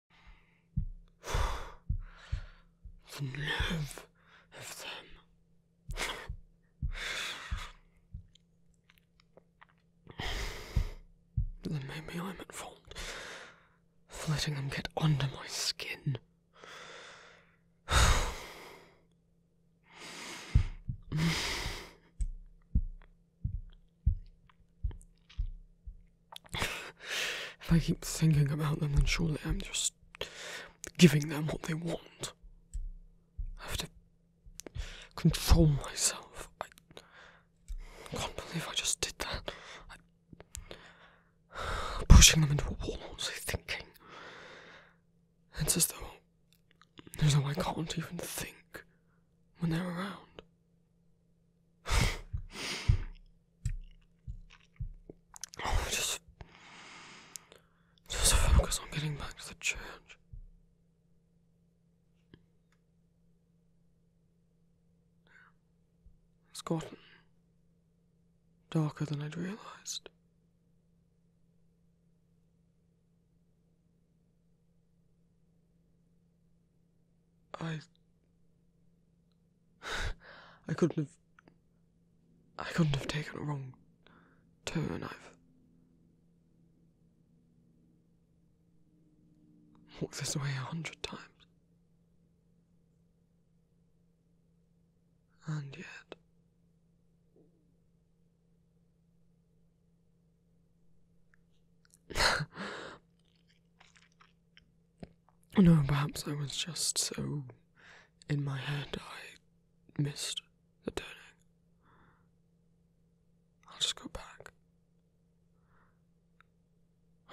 the nerve of them. maybe I'm at fault for letting them get under my skin. if I keep thinking about them, then surely I'm just giving them what they want. I have to control myself. I can't believe I just did that. I, pushing them into a wall, I'm I thinking? It's as though, there's no I can't even think when they're around. Oh, just, just focus on getting back to the church. It's gotten darker than I'd realized. I I couldn't have I couldn't have taken a wrong turn. I've walked this way a hundred times. And yet No, perhaps I was just so in my head I missed the turning. I'll just go back.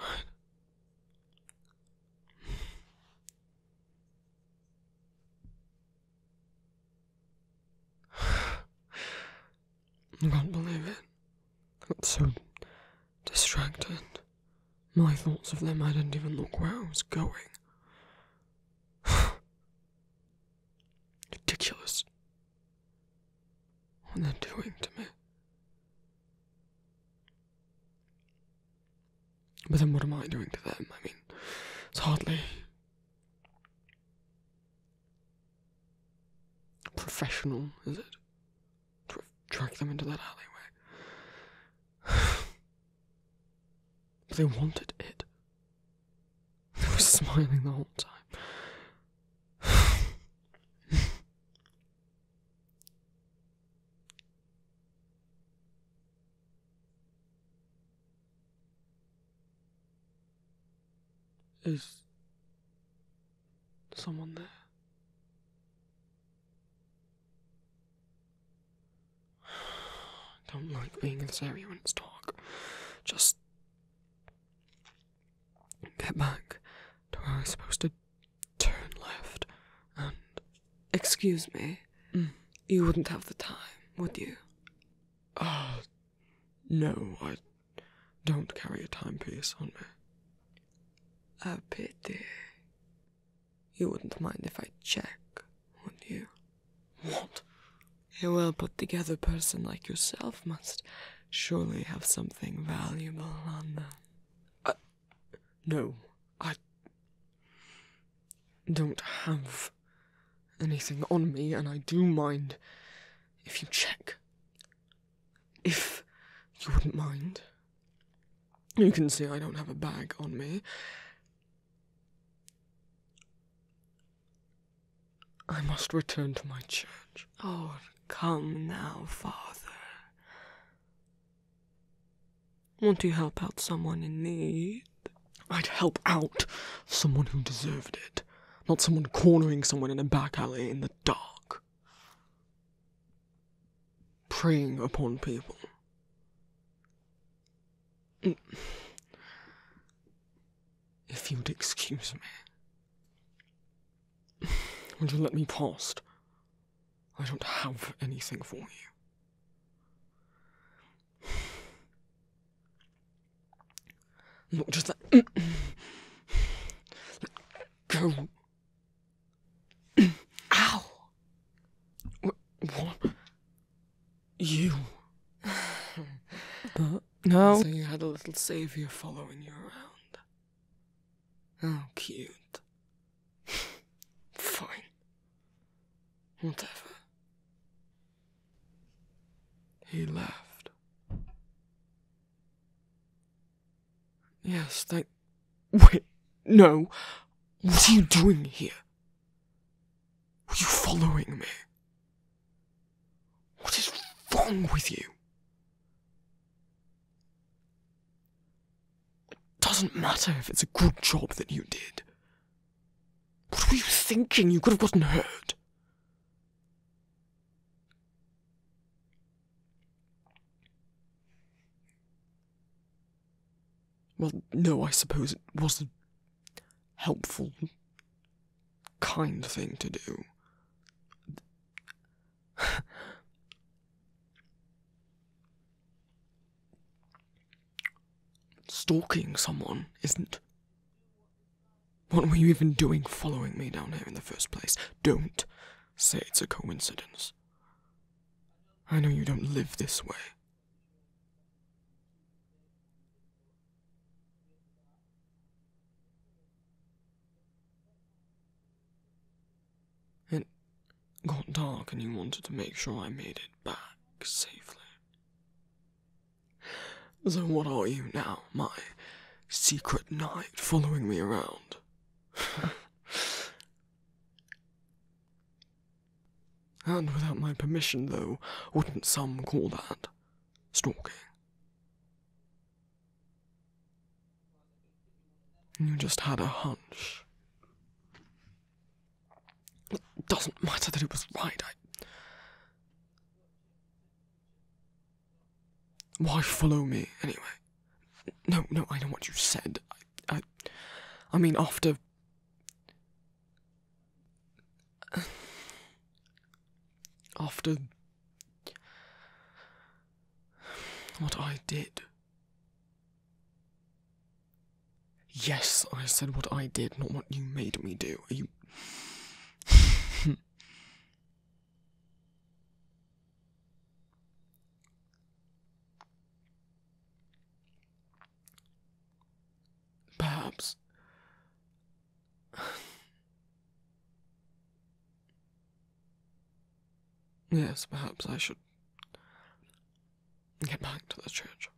I can't believe it. I'm so distracted. My thoughts of them, I didn't even look where I was going. Ridiculous. What they're doing to me. But then what am I doing to them? I mean, it's hardly professional, is it? Tr track them into that alleyway. but they wanted it. They were smiling the whole time. Is someone there. don't like being in this area when it's dark. Just get back to where I was supposed to turn left and. Excuse me. Mm. You wouldn't have the time, would you? Uh, no, I don't carry a timepiece on me. A pity. You wouldn't mind if I check, would you? What? A well put together person like yourself must surely have something valuable on them. Uh, no, I don't have anything on me, and I do mind if you check. If you wouldn't mind. You can see I don't have a bag on me. I must return to my church. Oh, come now, Father. Won't you help out someone in need? I'd help out someone who deserved it, not someone cornering someone in a back alley in the dark preying upon people. Mm. If you'd excuse me, would you let me past? I don't have anything for you. Not just that. Let go Ow. What? You. Uh, no. So you had a little savior following you around. Oh, cute. Fine. Whatever. He laughed. Yes, thank. Wait, no. What are you doing here? Were you following me? What is wrong with you? It doesn't matter if it's a good job that you did. What were you thinking? You could have gotten hurt. Well, no, I suppose it was a helpful, kind thing to do. Stalking someone isn't. What were you even doing following me down here in the first place? Don't say it's a coincidence. I know you don't live this way. It got dark, and you wanted to make sure I made it back safely. So, what are you now, my secret knight following me around? And without my permission, though, wouldn't some call that stalking? You just had a hunch. It doesn't matter that it was right, I. Why follow me anyway? No, no, I know what you said. I, I mean, after. After. What I did. Yes, I said what I did, not what you made me do. you. Perhaps. yes, perhaps I should get back to the church.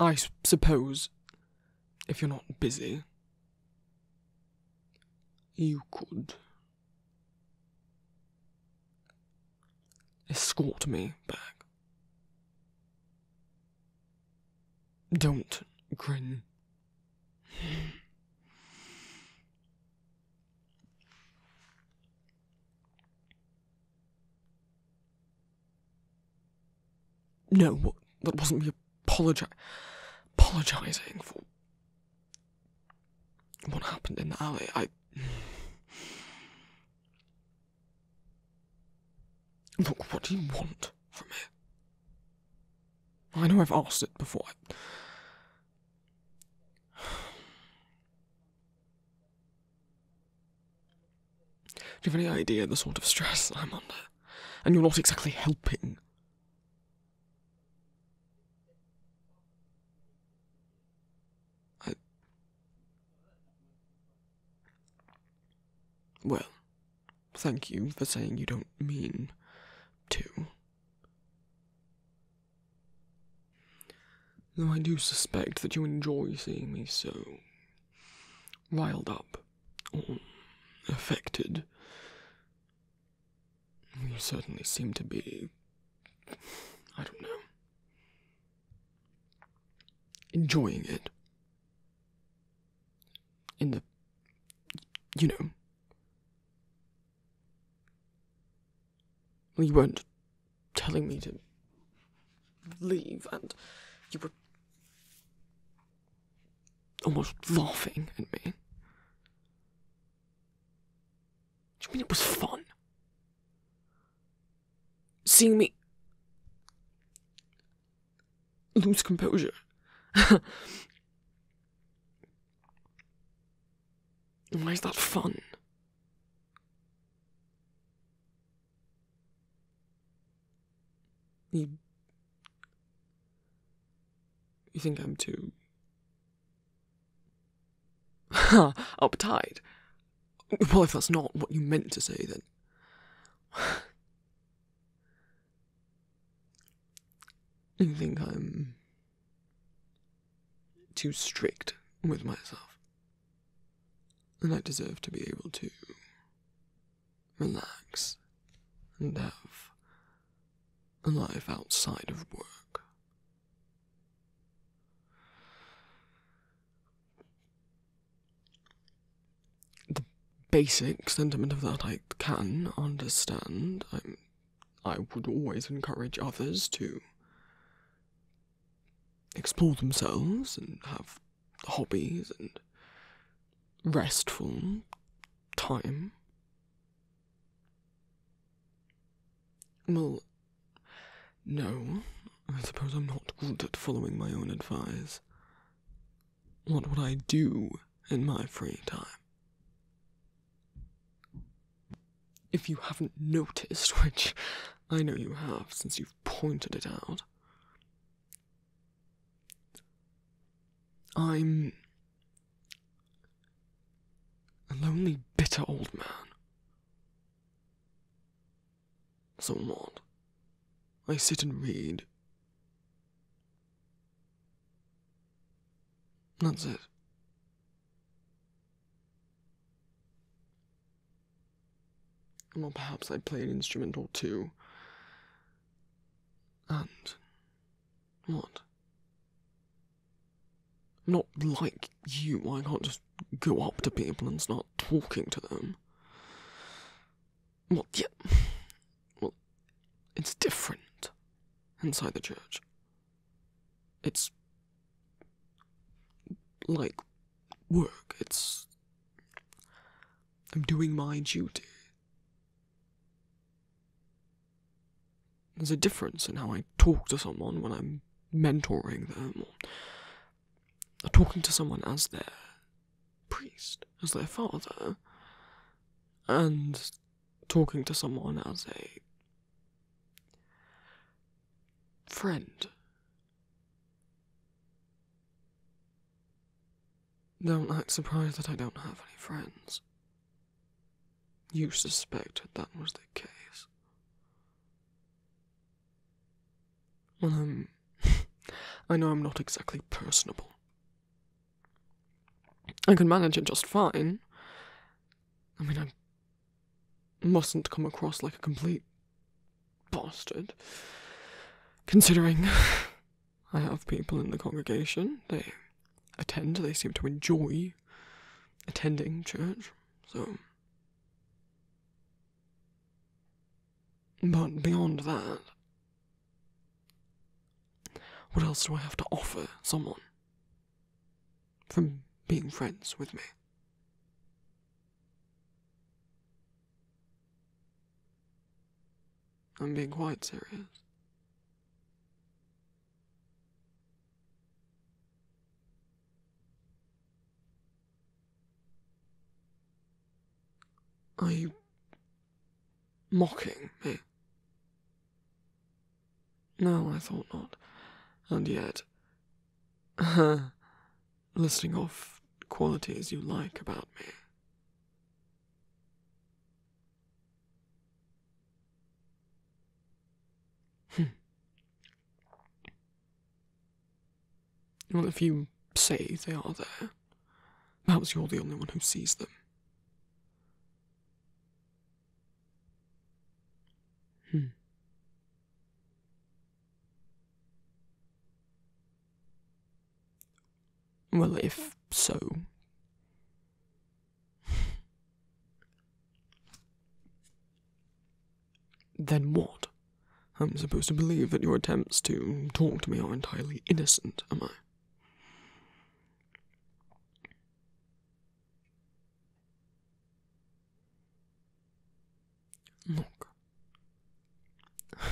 I suppose, if you're not busy, you could escort me back. Don't grin. No, that wasn't me apologi apologizing for what happened in the alley? I. Look, what do you want from me? I know I've asked it before. Do you have any idea the sort of stress I'm under? And you're not exactly helping. I. Well, thank you for saying you don't mean to. Though I do suspect that you enjoy seeing me so riled up or affected you certainly seem to be. I don't know. Enjoying it. In the. You know. you weren't telling me to leave, and you were almost laughing at me. Do you mean it was fun? Seeing me lose composure. Why is that fun? You, you think I'm too up Uptight. Well, if that's not what you meant to say, then. You think I'm too strict with myself, and I deserve to be able to relax and have a life outside of work. The basic sentiment of that I can understand. i I would always encourage others to explore themselves and have hobbies and restful time. Well, no, I suppose I'm not good at following my own advice. What would I do in my free time? If you haven't noticed, which I know you have since you've pointed it out, I'm a lonely, bitter old man. So what? I sit and read. That's it. Well, perhaps I play an instrumental too. And. What? not like you, I can't just go up to people and start talking to them. Well, it's different inside the church. It's like work. It's. I'm doing my duty. There's a difference in how I talk to someone when I'm mentoring them, or talking to someone as their priest, as their father, and talking to someone as a friend. Don't act surprised that I don't have any friends. You suspected that was the case. Well, um, I know I'm not exactly personable. I can manage it just fine. I mean, I mustn't come across like a complete bastard, considering I have people in the congregation. They attend, they seem to enjoy attending church, so. But beyond that, what else do I have to offer someone from being friends with me? I'm being quite serious. Are you mocking me? No, I thought not. And yet, listing off qualities you like about me. Well, hmm. if you say they are there, perhaps you're the only one who sees them. Hmm. Well, if so, then what? I'm supposed to believe that your attempts to talk to me are entirely innocent, am I? Look. As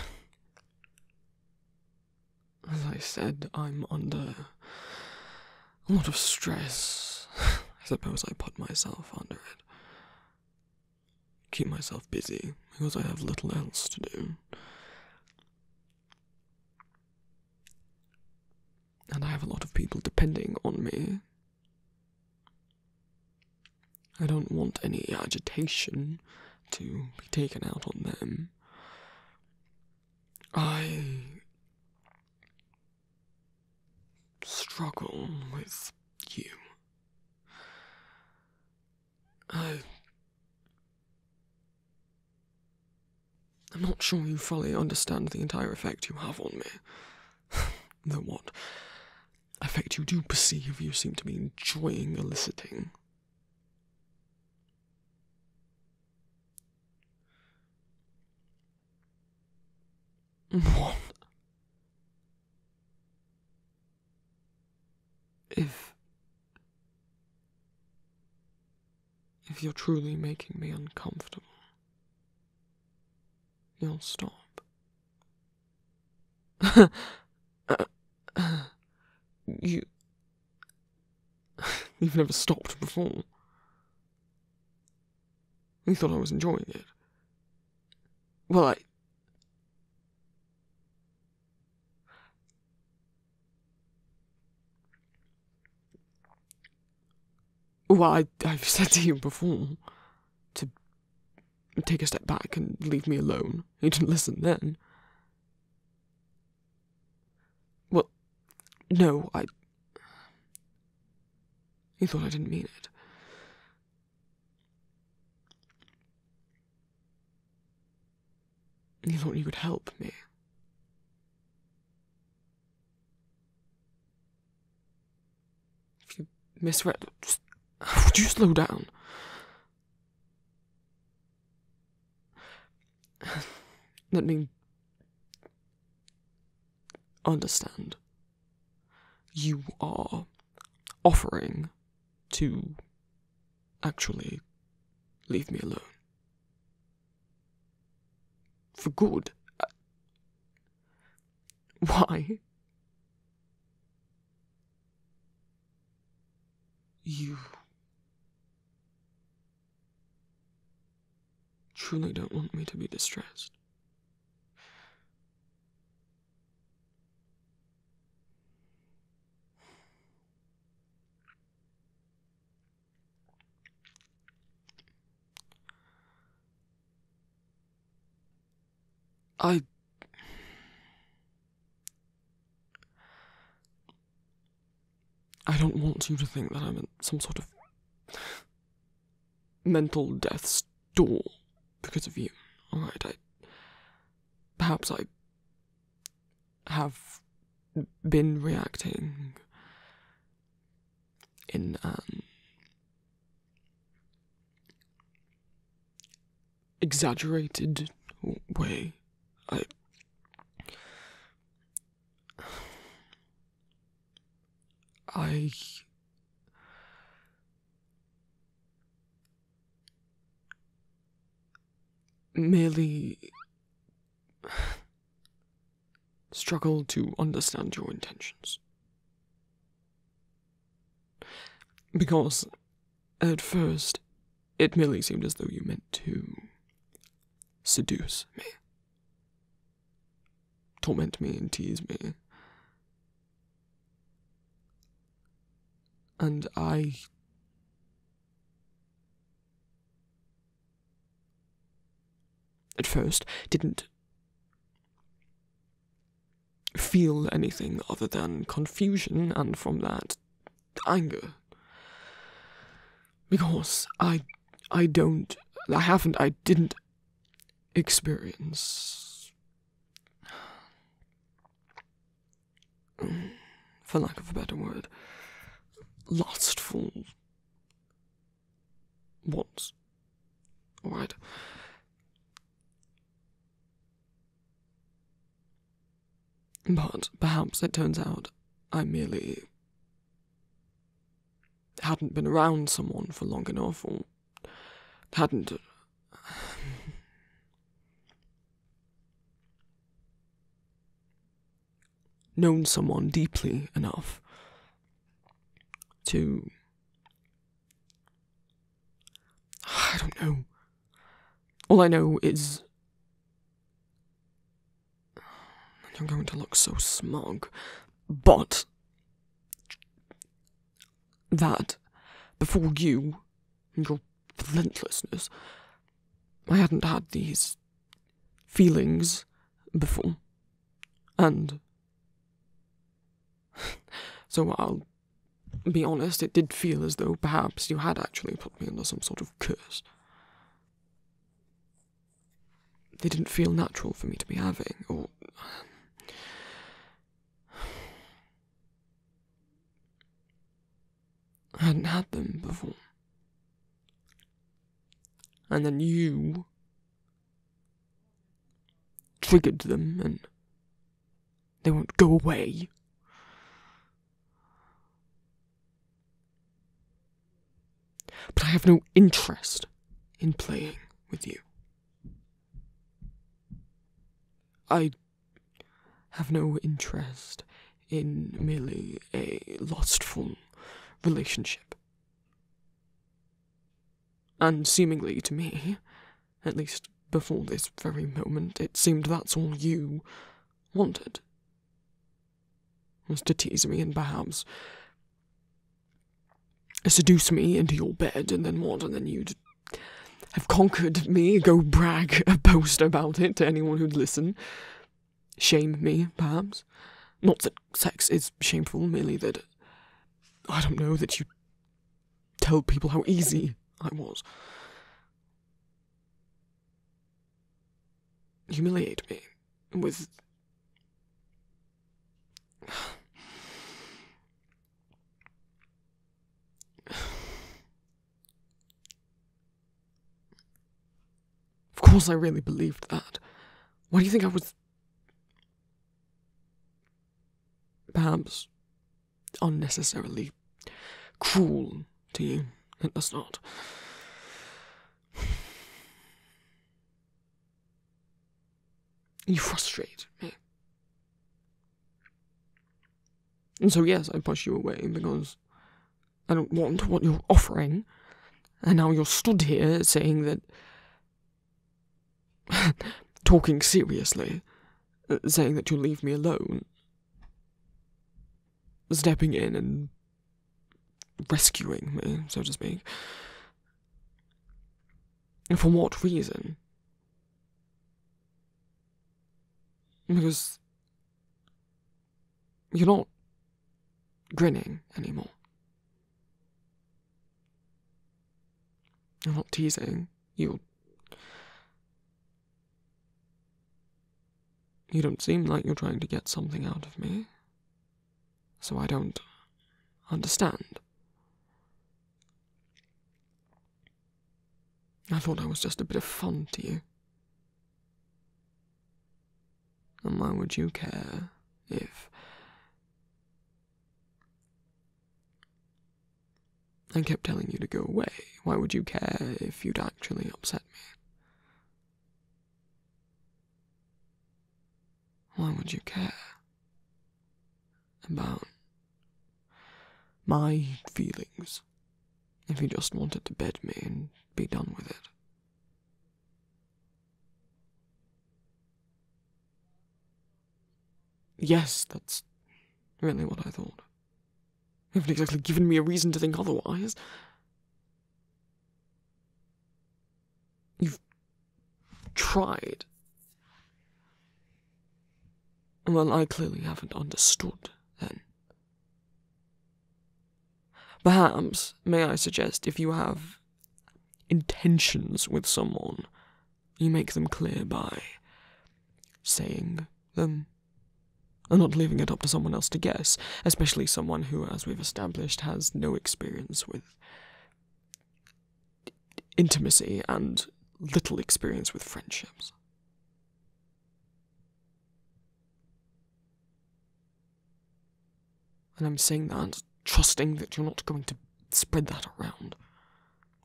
I said, I'm under a lot of stress. I suppose I put myself under it. Keep myself busy because I have little else to do. And I have a lot of people depending on me. I don't want any agitation to be taken out on them. I struggle with you. I. am not sure you fully understand the entire effect you have on me. Though what effect you do perceive, you seem to be enjoying eliciting. What? If. If you're truly making me uncomfortable, you'll stop. You've never stopped before. You thought I was enjoying it. Well, I. Well, I, have said to you before to take a step back and leave me alone. You didn't listen then. Well, no, I. You thought I didn't mean it. You thought you could help me. If you misread, just, would you slow down? Let me understand. You are offering to actually leave me alone. For good. Uh, why? You truly don't want me to be distressed. I. I don't want you to think that I'm some sort of mental death's door because of you. Alright, I. Perhaps I. have been reacting. in an. Um, exaggerated way. I. I. merely. struggled to understand your intentions. Because, at first, it merely seemed as though you meant to. seduce me torment me and tease me. And I. At first, didn't feel anything other than confusion, and from that, anger. Because I, I don't, I haven't, I didn't experience. Um, for lack of a better word, lustful wants. Alright. But perhaps it turns out I merely hadn't been around someone for long enough or hadn't. Uh, known someone deeply enough to. I don't know. All I know is. I'm going to look so smug, but that, before you and your relentlessness, I hadn't had these feelings before. And. so I'll be honest, it did feel as though perhaps you had actually put me under some sort of curse they didn't feel natural for me to be having, or. I hadn't had them before. And then you triggered them and they won't go away. But I have no interest in playing with you. I have no interest in merely a lustful relationship. And seemingly to me, at least before this very moment, it seemed that's all you wanted. Was to tease me and perhaps seduce me into your bed and then what? And you'd have conquered me, go brag boast about it to anyone who'd listen. Shame me, perhaps. Not that sex is shameful, merely that I don't know that you tell people how easy I was. Humiliate me with Of course, I really believed that. Why do you think I was. Perhaps unnecessarily cruel to you It the not. You frustrate me. And so, yes, I push you away because I don't want what you're offering. And now you're stood here saying that. talking seriously, uh, saying that you'll leave me alone. Stepping in and rescuing me, so to speak. And for what reason? Because you're not grinning anymore. You're not teasing. You. You don't seem like you're trying to get something out of me. So I don't understand. I thought I was just a bit of fun to you. And why would you care if. I kept telling you to go away. Why would you care if you'd actually upset me? Why would you care about my feelings if you just wanted to bed me and be done with it? Yes, that's really what I thought. You haven't exactly given me a reason to think otherwise. You've tried. Well, I clearly haven't understood, then. Perhaps, may I suggest, if you have intentions with someone, you make them clear by saying them and not leaving it up to someone else to guess, especially someone who, as we've established, has no experience with intimacy and little experience with friendships. And I'm saying that trusting that you're not going to spread that around.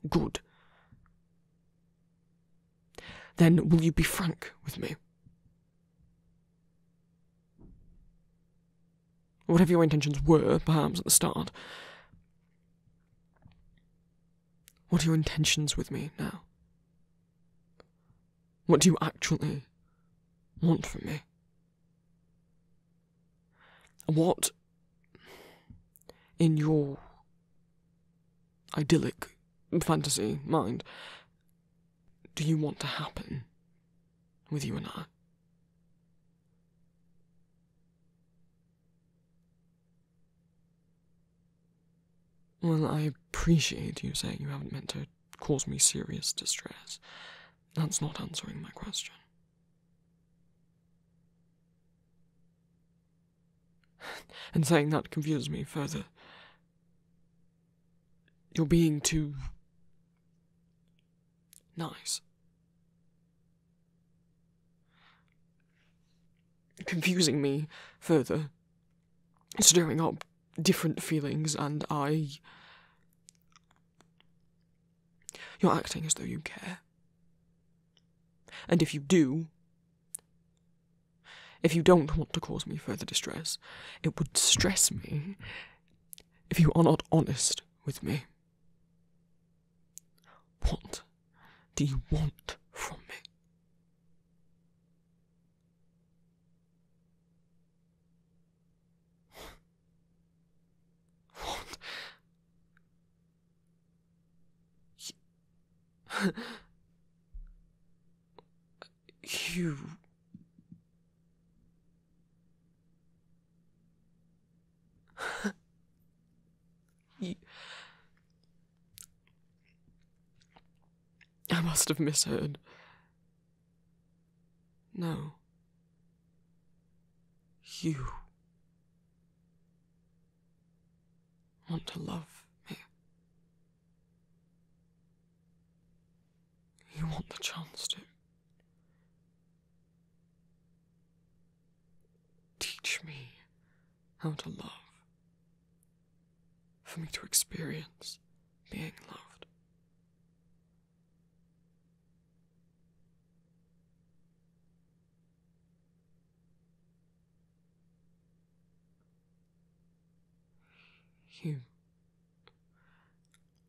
Good. Then will you be frank with me? whatever your intentions were, perhaps, at the start. What are your intentions with me now? What do you actually want from me? What, in your idyllic fantasy mind, do you want to happen with you and I? Well, I appreciate you saying you haven't meant to cause me serious distress. That's not answering my question. and saying that confuses me further. You're being too Nice. Confusing me further, stirring up different feelings, and I. You're acting as though you care. And if you do, if you don't want to cause me further distress, it would stress me if you are not honest with me. What do you want from me? What? You, you... I must have misheard. No. You want to love me. You want the chance to. Teach me how to love, for me to experience being loved. You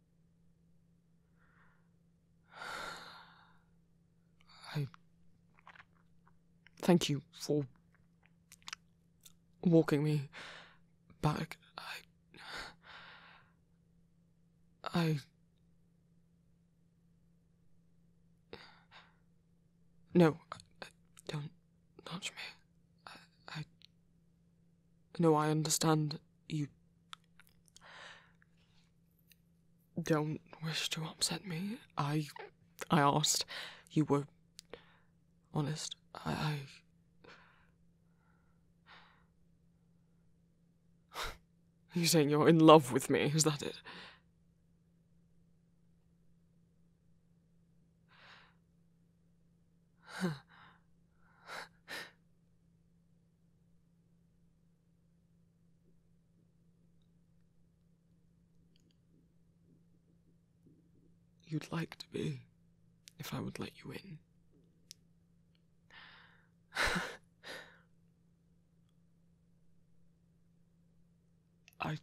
I thank you for walking me back. I. I. No, I, I don't touch me. I no, I understand you don't wish to upset me. I I asked. You were honest. I, You're saying you're in love with me, is that it? You'd like to be, if I would let you in. I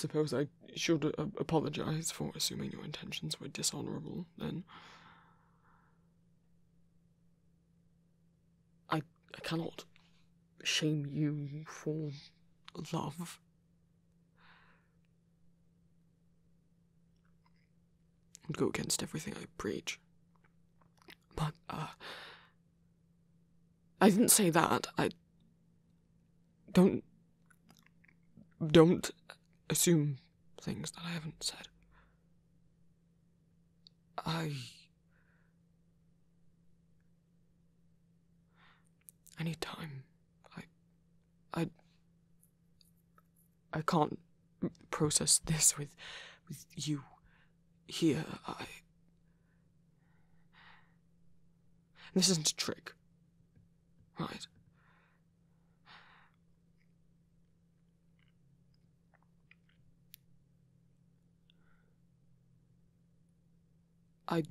suppose I should uh, apologize for assuming your intentions were dishonorable then I, I cannot shame you for love. And go against everything I preach. But, uh, I didn't say that. I don't. Don't assume things that I haven't said. I. I need time. I. I. I can't process this with. with you. Here, I. This isn't a trick. Right. I.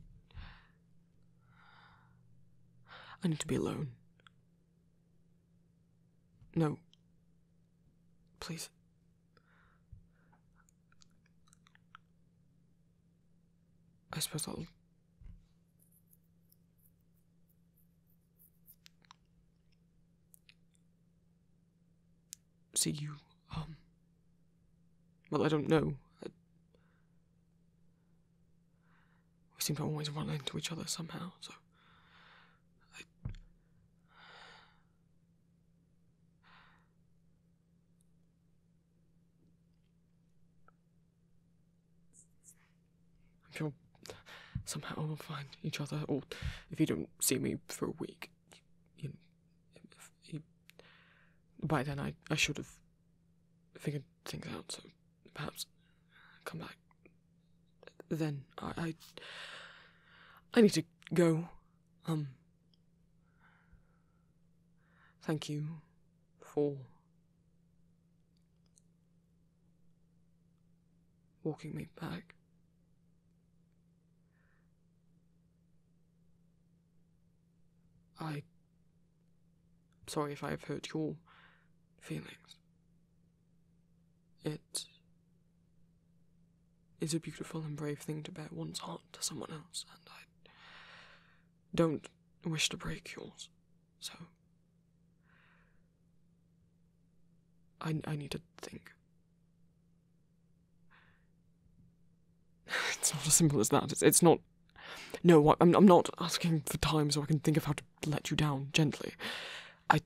I need to be alone. No. Please. I suppose I'll see you, um, Well, I don't know. we seem to always run into each other somehow, so. I'm sure somehow we'll find each other, or if you don't see me for a week, you by then I, I should have figured things out, so perhaps come back. Then I, I, I need to go. Um, thank you for walking me back. I. am sorry if I have hurt your feelings. It is a beautiful and brave thing to bare one's heart to someone else, and I don't wish to break yours, so I, I need to think. It's not as simple as that. It's, it's not. No, I'm, I'm not asking for time so I can think of how to let you down gently. I,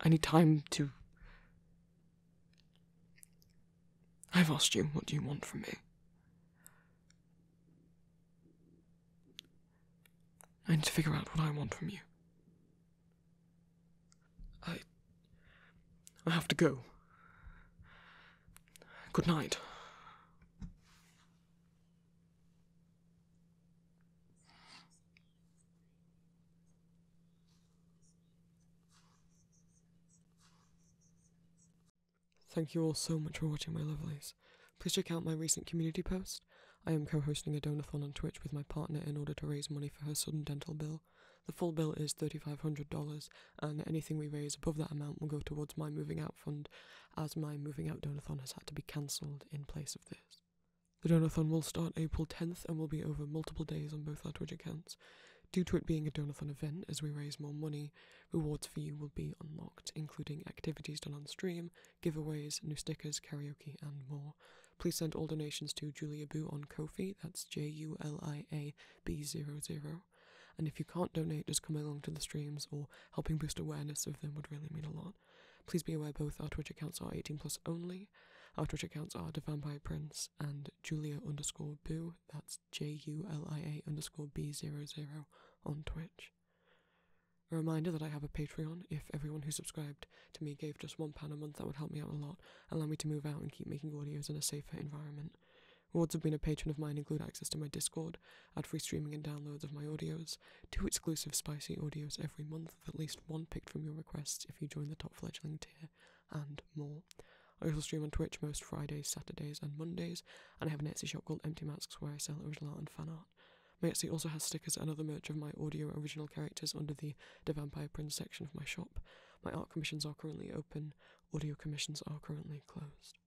I need time to. I've asked you, what do you want from me? I need to figure out what I want from you. I. I have to go. Good night. Thank you all so much for watching my lovelies. Please check out my recent community post. I am co hosting a donathon on Twitch with my partner in order to raise money for her sudden dental bill. The full bill is $3,500, and anything we raise above that amount will go towards my moving out fund, as my moving out donathon has had to be cancelled in place of this. The donathon will start April 10th and will be over multiple days on both our Twitch accounts. Due to it being a donathon event, as we raise more money, rewards for you will be unlocked, including activities done on stream, giveaways, new stickers, karaoke, and more. Please send all donations to Julia Boo on Kofi, that's J U L I A B 00. 0 And if you can't donate, just come along to the streams or helping boost awareness of them would really mean a lot. Please be aware both our Twitch accounts are 18 plus only. Our Twitch accounts are The Vampire Prince and Julia underscore Boo, that's J U L I A underscore B 0 00 on Twitch. A reminder that I have a Patreon. If everyone who subscribed to me gave just one pound a month, that would help me out a lot, allow me to move out and keep making audios in a safer environment. Rewards have been a patron of mine include access to my Discord, ad free streaming and downloads of my audios, two exclusive spicy audios every month, with at least one picked from your requests if you join the top fledgling tier, and more. I also stream on Twitch most Fridays, Saturdays, and Mondays, and I have an Etsy shop called Empty Masks where I sell original art and fan art. Matsui also has stickers and other merch of my audio original characters under the The Vampire Prince section of my shop. My art commissions are currently open, audio commissions are currently closed.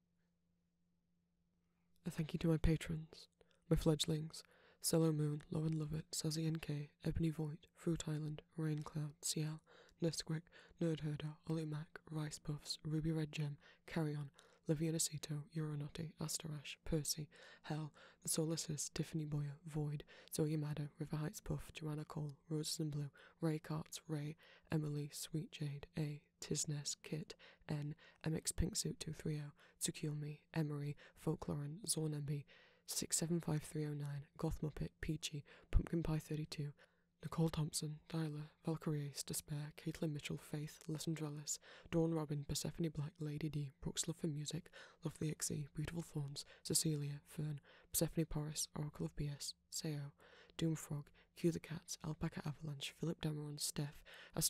A thank you to my patrons, my fledglings, Cello Moon, Lauren Lovett, Sazi NK, Ebony Void, Fruit Island, Raincloud, Cloud, Ciel, Nesquick, Nerd Herder, Ollie Mac, Rice Puffs, Ruby Red Gem, Carry On, Livianacito, Uranati, Asterash, Percy, Hell, the Solaces, Tiffany Boyer, Void, Zoya Madder, River Heights Puff, Joanna Cole, Roses and Blue, Ray Carts, Ray, Emily, Sweet Jade, A, Tisness, Kit, N, MX Pinksuit 230, Tsukilmi, Emery, and Zornembi, 675309, Goth Muppet, Peachy, Pumpkin Pie 32, Nicole Thompson, Dyla, Valkyrie Despair, Caitlin Mitchell, Faith, Lessandralis, Dawn Robin, Persephone Black, Lady D, Brooks for music, Lovely Ixie, Beautiful Thorns, Cecilia, Fern, Persephone Porus, Oracle of BS, Seo, Doomfrog, Cue the Cats, Alpaca Avalanche, Philip Demeron, Steph, I,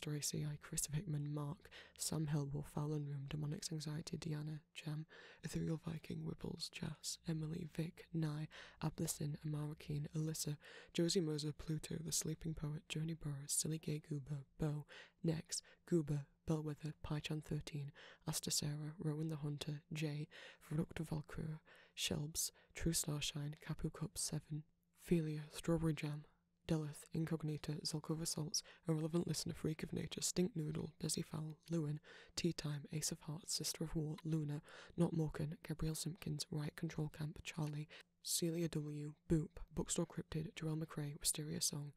Chris Hickman, Mark, Sam Helwell, Fallon Room, Demonic Anxiety, Diana, Jam, Ethereal Viking, Whipples, Jas, Emily, Vic, Nye, Ablissin, Amara Alyssa, Josie Moser, Pluto, The Sleeping Poet, Journey Burrows, Silly Gay Goober, Bo, Next, Goober, Bellwether, Pychan 13, Astacera, Rowan the Hunter, Jay, Verructa Valkyra, Shelbs, True Starshine, Capu 7, Felia, Strawberry Jam, Delith, Incognita, Zelkova Salts, Irrelevant Listener, Freak of Nature, Stink Noodle, Dizzy Fowl, Lewin, Tea Time, Ace of Hearts, Sister of War, Luna, Not Morkan Gabriel Simpkins, Riot Control Camp, Charlie, Celia W., Boop, Bookstore Cryptid, Jerome McRae, Wisteria Song,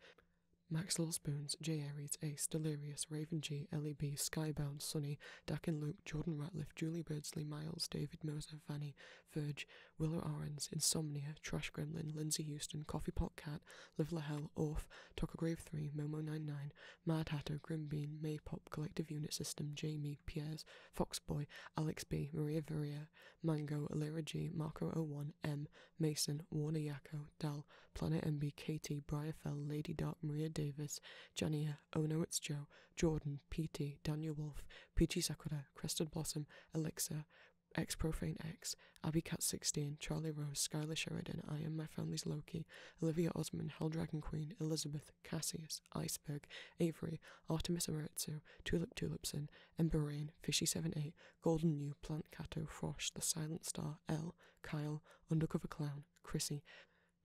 Max Little Spoons, J. Aries, Ace, Delirious, Raven G, Ellie Skybound, Sunny, Dakin. Luke, Jordan Ratliff, Julie Birdsley, Miles, David Moser, Fanny, Verge, Willow Arons, Insomnia, Trash Gremlin, Lindsay Houston, Coffee Pot Cat, Live La Hell, Orf, Tucker Grave 3, momo Nine. Nine. Mad Hatter, Grimbean, Maypop, Collective Unit System, Jamie, Piers, Foxboy, Alex B, Maria Viria, Mango, Alira G, Marco01, M, Mason, Warner Yako, Dal, Planet MB, Katie, Briarfell, Lady Dark, Maria Davis, Jania, Oh It's Joe, Jordan, PT, Daniel Wolf, Peachy Sakura, Crested Blossom, Elixir, X Profane X, Abby Cat 16, Charlie Rose, Skylar Sheridan, I Am My Family's Loki, Olivia Osman, Hell Dragon Queen, Elizabeth, Cassius, Iceberg, Avery, Artemis Amaretsu, Tulip Tulipson, Ember Rain, Fishy78, Golden New, Plant Cato, Frosh, The Silent Star, L, Kyle, Undercover Clown, Chrissy,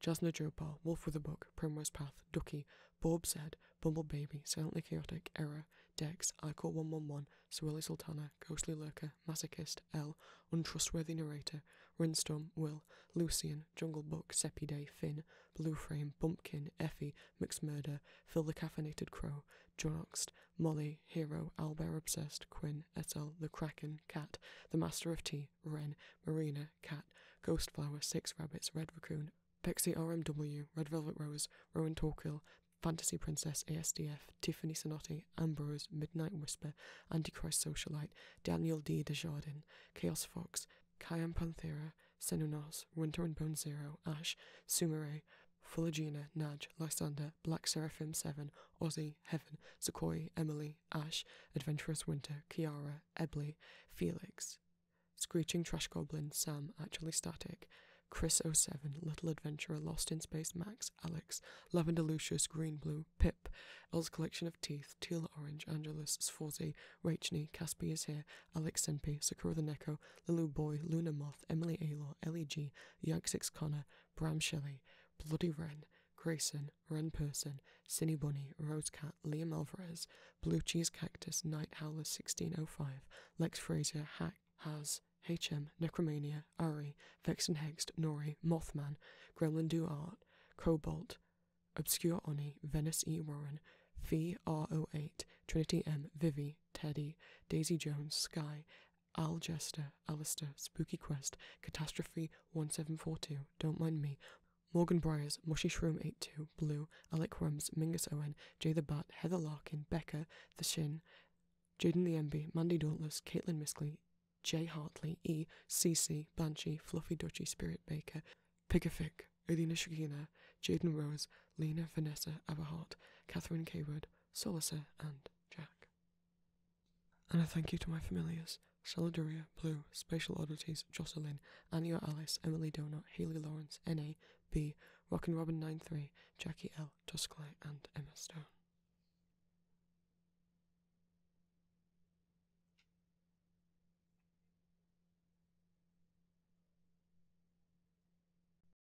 Jasna Jopal, Wolf with a Book, Primrose Path, Ducky, Bob said Bumble Baby, Silently Chaotic, Error, Dex, Icor 111, Swirly Sultana, Ghostly Lurker, Masochist, L, Untrustworthy Narrator, Rinstorm, Will, Lucian, Jungle Book, Seppi Day, Finn, Blue Frame, Bumpkin, Effie, McMurder, Phil the Caffeinated Crow, Jonoxt, Molly, Hero, Albert Obsessed, Quinn, Etel, The Kraken, Cat, The Master of Tea, Wren, Marina, Cat, Ghostflower, Six Rabbits, Red Raccoon, Pixie RMW, Red Velvet Rose, Rowan Torkill, Fantasy Princess, ASDF, Tiffany Sonati, Ambrose, Midnight Whisper, Antichrist Socialite, Daniel D. Desjardin, Chaos Fox, Kyan Panthera, Senunos, Winter and Bone Zero, Ash, Sumere, Fuligina, Naj, Lysander, Black Seraphim 7, Ozzy, Heaven, Sequoia, Emily, Ash, Adventurous Winter, Kiara, Ebley, Felix. Screeching Trash Goblin, Sam, Actually Static, Chris 0 07, Little Adventurer, Lost in Space, Max, Alex, Lavender Lucius, Green Blue, Pip, Elle's Collection of Teeth, Teal Orange, Angelus, Sforzi, Rachni, Caspi is Here, Alex Sempe, Sakura the Neko, Lulu Boy, Luna Moth, Emily Aylor, Ellie G, Yaxix Connor, Bram Shelley, Bloody Wren, Grayson, Wren Person, Cinny Bunny, Rose Cat, Liam Alvarez, Blue Cheese Cactus, Night Howler 1605, Lex Fraser, Hack, Has, HM, Necromania, Ari, Vex and Hexed, Nori, Mothman, Gremlin Do Art, Cobalt, Obscure Oni, Venice E. Warren, V R O eight, Trinity M, Vivi, Teddy, Daisy Jones, Sky, Al Jester, Alistair, Spooky Quest, Catastrophe 1742, Don't Mind Me, Morgan Briers, Mushy Shroom 82, Blue, Alec Rums, Mingus Owen, Jay the Bat, Heather Larkin, Becca, The Shin, Jaden the MB, Mandy Dauntless, Caitlin Miskley, Jay Hartley, E C C, Banshee, Fluffy Dutchy, Spirit Baker, Pigafic, Adina Shagina, Jaden Rose, Lena Vanessa Aberhart, Catherine Kaywood, Solacer, and Jack. And a thank you to my familiars Soliduria, Blue, Spatial Oddities, Jocelyn, Anya Alice, Emily Donut, Haley Lawrence, N.A., B, Rockin' Robin 93, Jackie L, Tusclay, and Emma Stone.